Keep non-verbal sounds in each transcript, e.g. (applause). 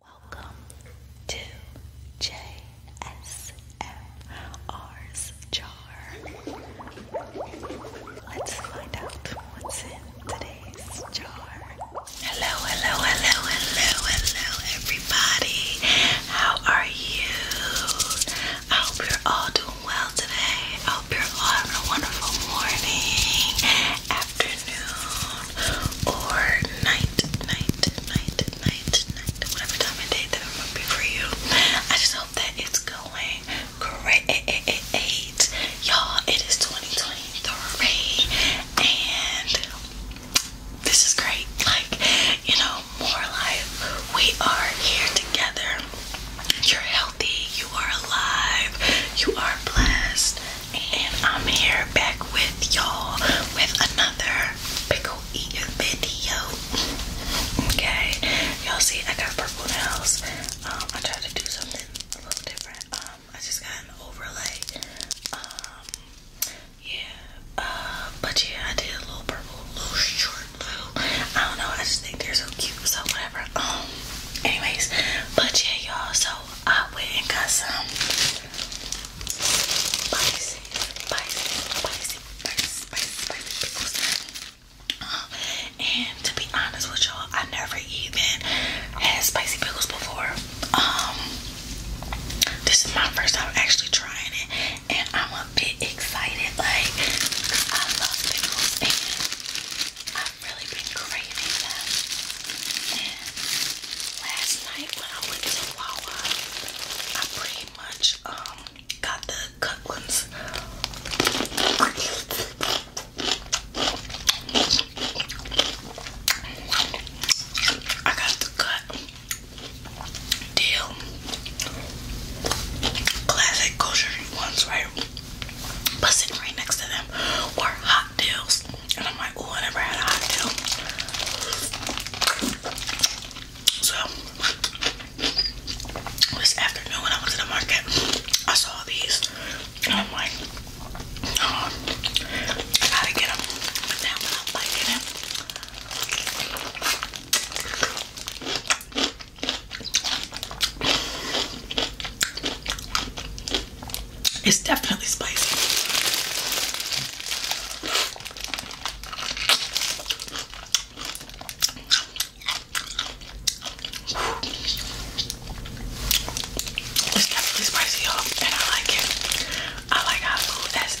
Welcome to JSMR's jar. Let's find out what's in today's jar. Hello, hello, hello, hello, hello, everybody. How are you? I hope you're all doing well today. I hope you're all having a wonderful morning, afternoon, or night, night, night, night, night, whatever time of day that it would be for you. I just hope that it's going great. Y'all, it is 2023 and this is great. Like, you know, more life. We are here together. You're healthy, you are alive, you are blessed and I'm here back with y'all with another pickle eating video. Okay, y'all see I got purple nails. Um, I tried to do something a little different. Um, I just got an overlay. Um, yeah. Uh, but yeah, I did a little purple, little short, little. I don't know. I just think they're so cute. So whatever. Um. Anyways, but yeah, y'all. So I went and got some and to be honest with y'all, I never even had spicy pickles before. Um, this is my first time actually trying it, and I'm a bit excited. Like, I love pickles, I've really been craving them. And last night when I went to Wawa, I pretty much um got the cut ones. I got the cut deal classic kosher ones, right? But sitting right next to them were hot deals. And I'm like, oh, I never had a hot deal. So this afternoon I went to the market, I saw these. And I'm like, oh, gotta get them. It's definitely spicy. It's definitely spicy, y'all, and I like it. I like how food as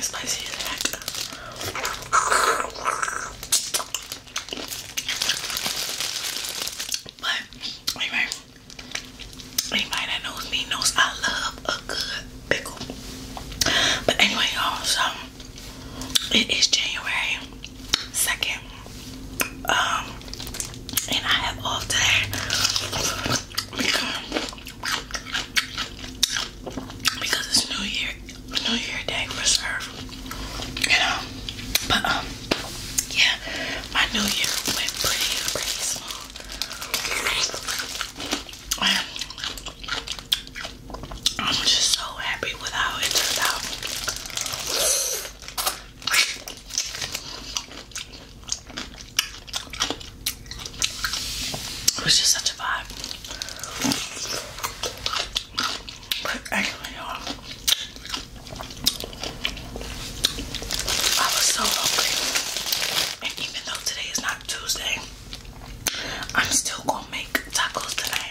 Spicy as But anyway, anybody that knows me knows I love a good pickle. But anyway, y'all, so it is January 2nd. Um and I have all day because, it's New Year, New Year Day reserve, you But um, yeah, my New Year went pretty, pretty smooth. I'm just so happy with how it turned out. It was just such a vibe. I was so hungry. And even though today is not Tuesday, I'm still gonna make tacos today.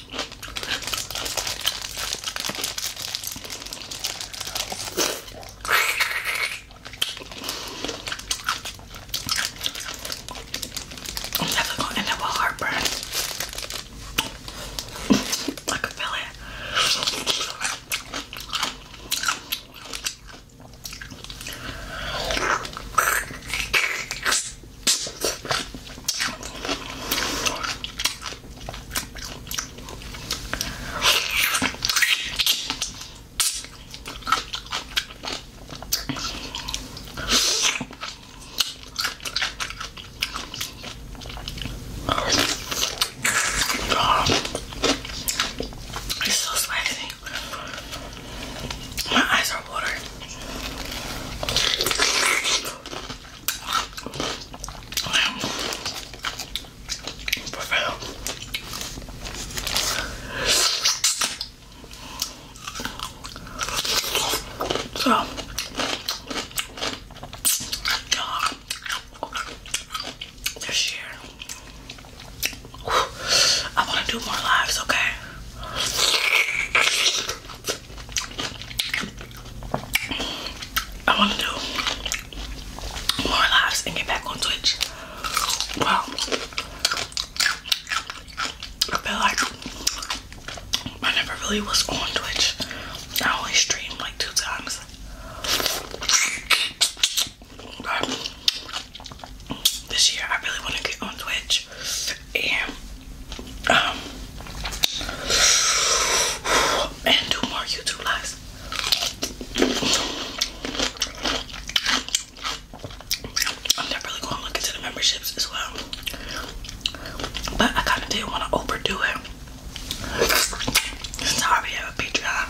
I'm never gonna end up with heartburn. I can feel it. God, it's so spicy. My eyes are watering. So, this year, I want to do more lives, okay? I want to do more lives and get back on Twitch. Well, I feel like I never really was on Twitch. I only streamed like two times. this year, I really want to get on Twitch and um, and do more YouTube lives. I'm not really going to look into the memberships as well, but I kind of did want to overdo it. Since I have a Patreon.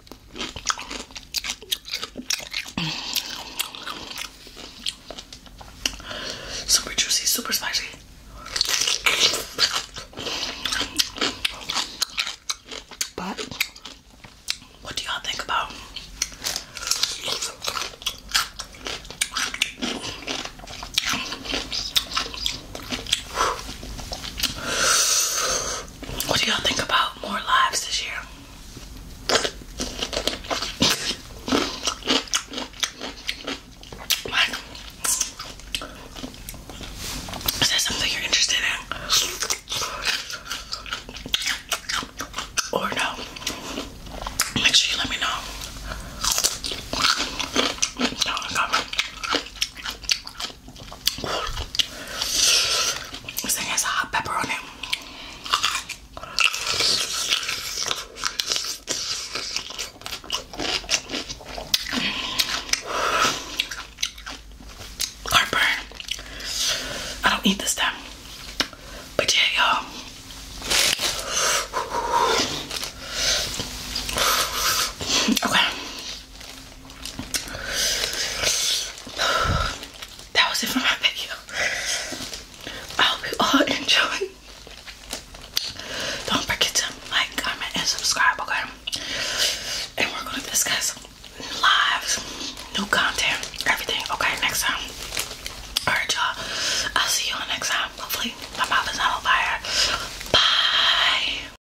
Super juicy, super spicy. But what do y'all think about what do y'all think about more lives this year? is that something you're interested in? Or no? Make sure you let me know. This thing has a hot pepper on it. Heartburn. I don't eat this time. But yeah, y'all. Okay that was it for my video. I hope you all (laughs) enjoyed. Don't forget to like, comment, and subscribe, okay? And we're gonna discuss lives, new content, everything, okay, next time. Alright, y'all. I'll see you all next time. Hopefully, my mouth is not on fire. Bye.